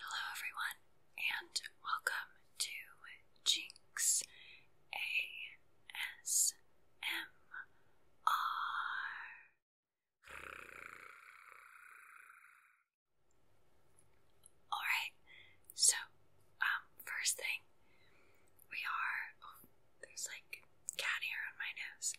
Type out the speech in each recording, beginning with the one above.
Hello, everyone, and welcome to Jinx ASMR. Alright, so, um, first thing, we are, there's like cat hair on my nose.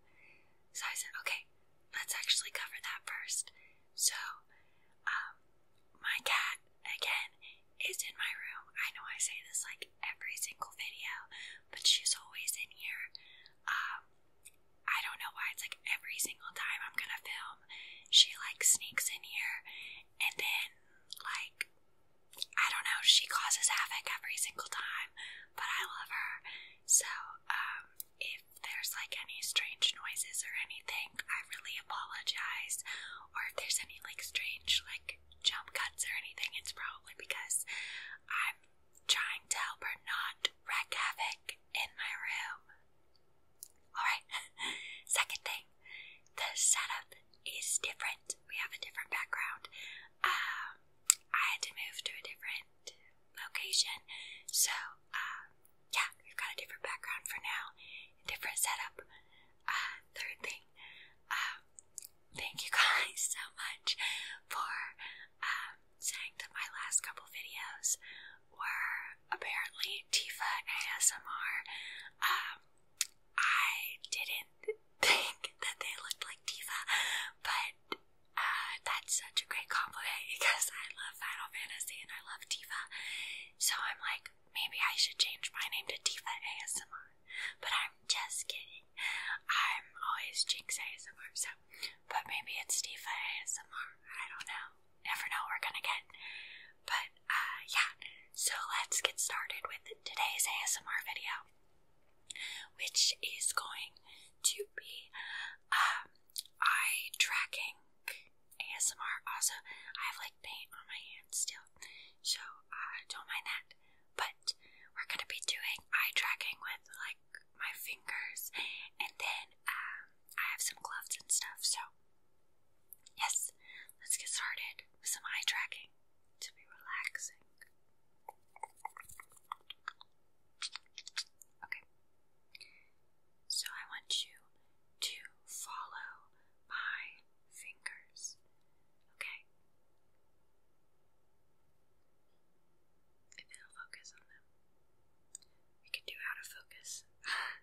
so I said, okay, let's actually cover that first. So, um, my cat, again, is in my room. I know I say this like every single video, but she's always in here. Um, I don't know why it's like every single time I'm gonna film, she like sneaks in here and then like I don't know, she causes havoc every single time, but I love her. So, um, if there's like any strange noises or anything, I really apologize. Or if there's any like strange like jump cuts or anything, it's probably because I'm trying to help her not wreck havoc in my room. Alright, second thing, the setup is different we have a different background. Um, I had to move to a different location, so uh, yeah, we've got a different background for now, a different setup. Uh, third thing, um, thank you guys so much for um, saying that my last couple videos were apparently Tifa ASMR. I didn't think that they looked like Tifa, but uh, that's such a great compliment because I love Final Fantasy and I love Tifa. So I'm like, maybe I should change my name to Tifa ASMR, but I'm just kidding. I'm always Jinx ASMR, so but maybe it's Tifa ASMR. I don't know. Never know what we're gonna get. But uh, yeah, so let's get started with today's ASMR video which is going to be um, eye tracking ASMR. Also, I have like paint on my hands still, so uh, don't mind that. But we're gonna be doing eye tracking with like my fingers, and then um, I have some gloves and stuff. So, yes, let's get started with some eye tracking to be relaxing. Okay. So I want you to follow my fingers. Okay? If it'll focus on them. We can do out of focus.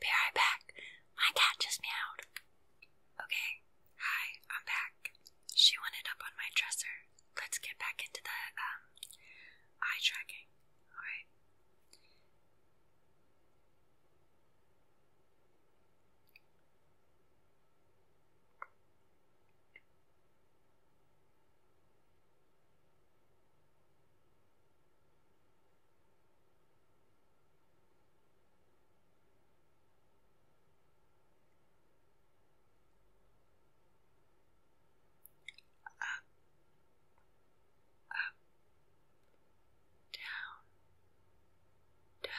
Be right back. My cat just meowed. Okay, hi, I'm back. She wanted up on my dresser. Let's get back into the um, eye tracking. Alright. Up, up, down, down. Up,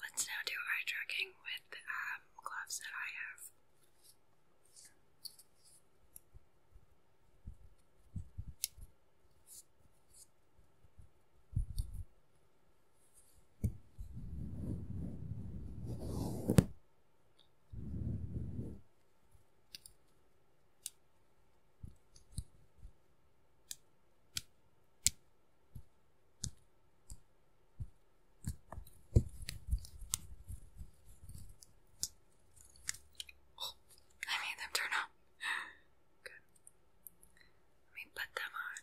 Let's now do eye tracking with the um, gloves that I have. I made them turn on. Good. Let me put them on.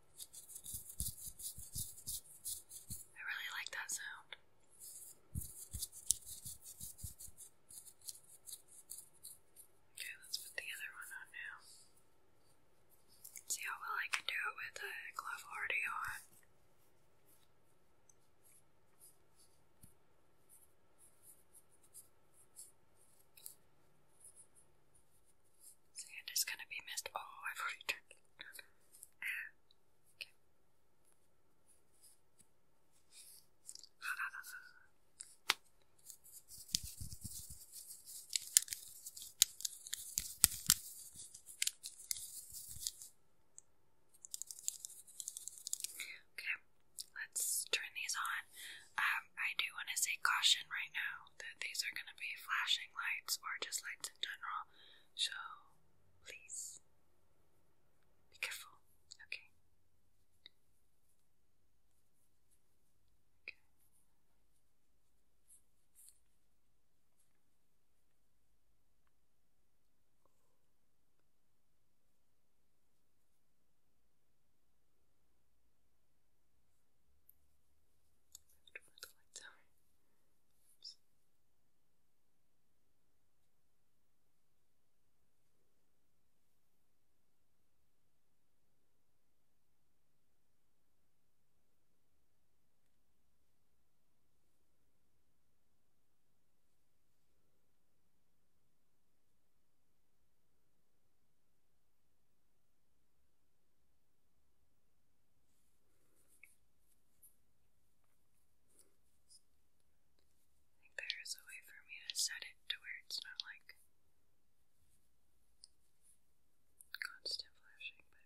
I really like that sound. Okay, let's put the other one on now. See how well I can do it with the glove already on. Sand is gonna be missed. Oh, I've already turned Okay, let's turn these on. Um, I do want to say caution right now that these are going to be flashing lights or just lights in general, so please be careful, okay? Okay. Moved one of the lights out. Oops. All there is a way for me to set it to where it's not like constant flashing, but.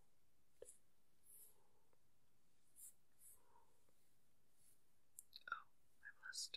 Oh, i lost.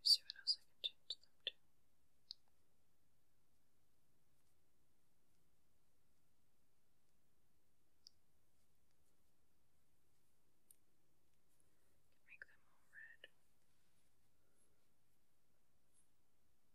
Let's see what else I can change them to. Make them all red.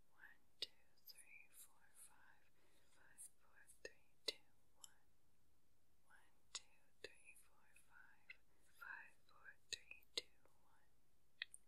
one, two, three, four, five, five, four, three, two, one, one, two, three, four, five, five, four, three, two, one. One, two, three, four, five,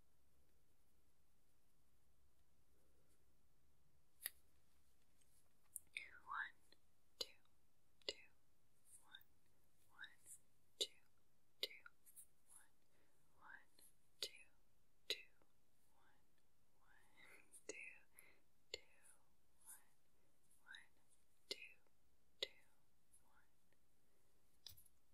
One, two, two, one, one, two, two, one, one, two, two, one, one, two, two, one, one, two, two, one.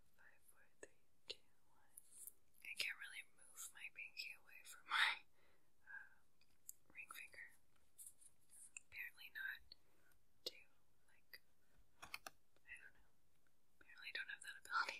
five, four, three, two, one. I can't really move my pinky away from my uh, ring finger. Apparently not to like I don't know. Apparently don't have that ability.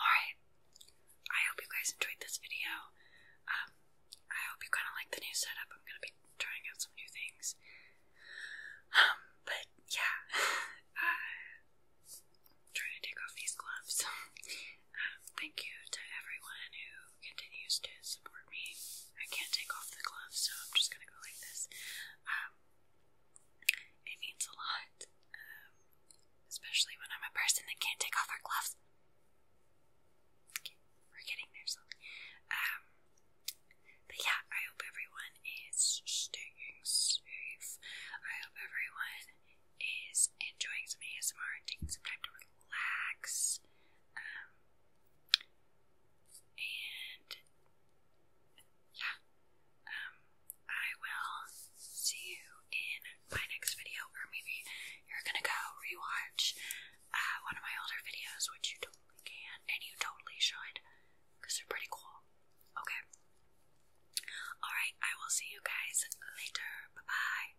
Alright, I hope you guys enjoyed this video. Um, I hope you kind of like the new setup. I'm gonna be trying out some new things. Um, but yeah, uh, trying to take off these gloves. Um, thank you to everyone who continues to support me. I can't take off the gloves, so I'm just gonna go like this. Um, it means a lot, um, especially when I'm a person that can't take off our gloves. we're getting there slowly. Um, but yeah, I hope everyone is staying safe. I hope everyone is enjoying some ASMR and taking some time to relax. And yeah, um, I will see you in my next video, or maybe you're gonna go rewatch uh, one of my older videos, which you totally can, and you totally should, because they're pretty cool. Okay. Alright, I will see you guys later. Bye bye.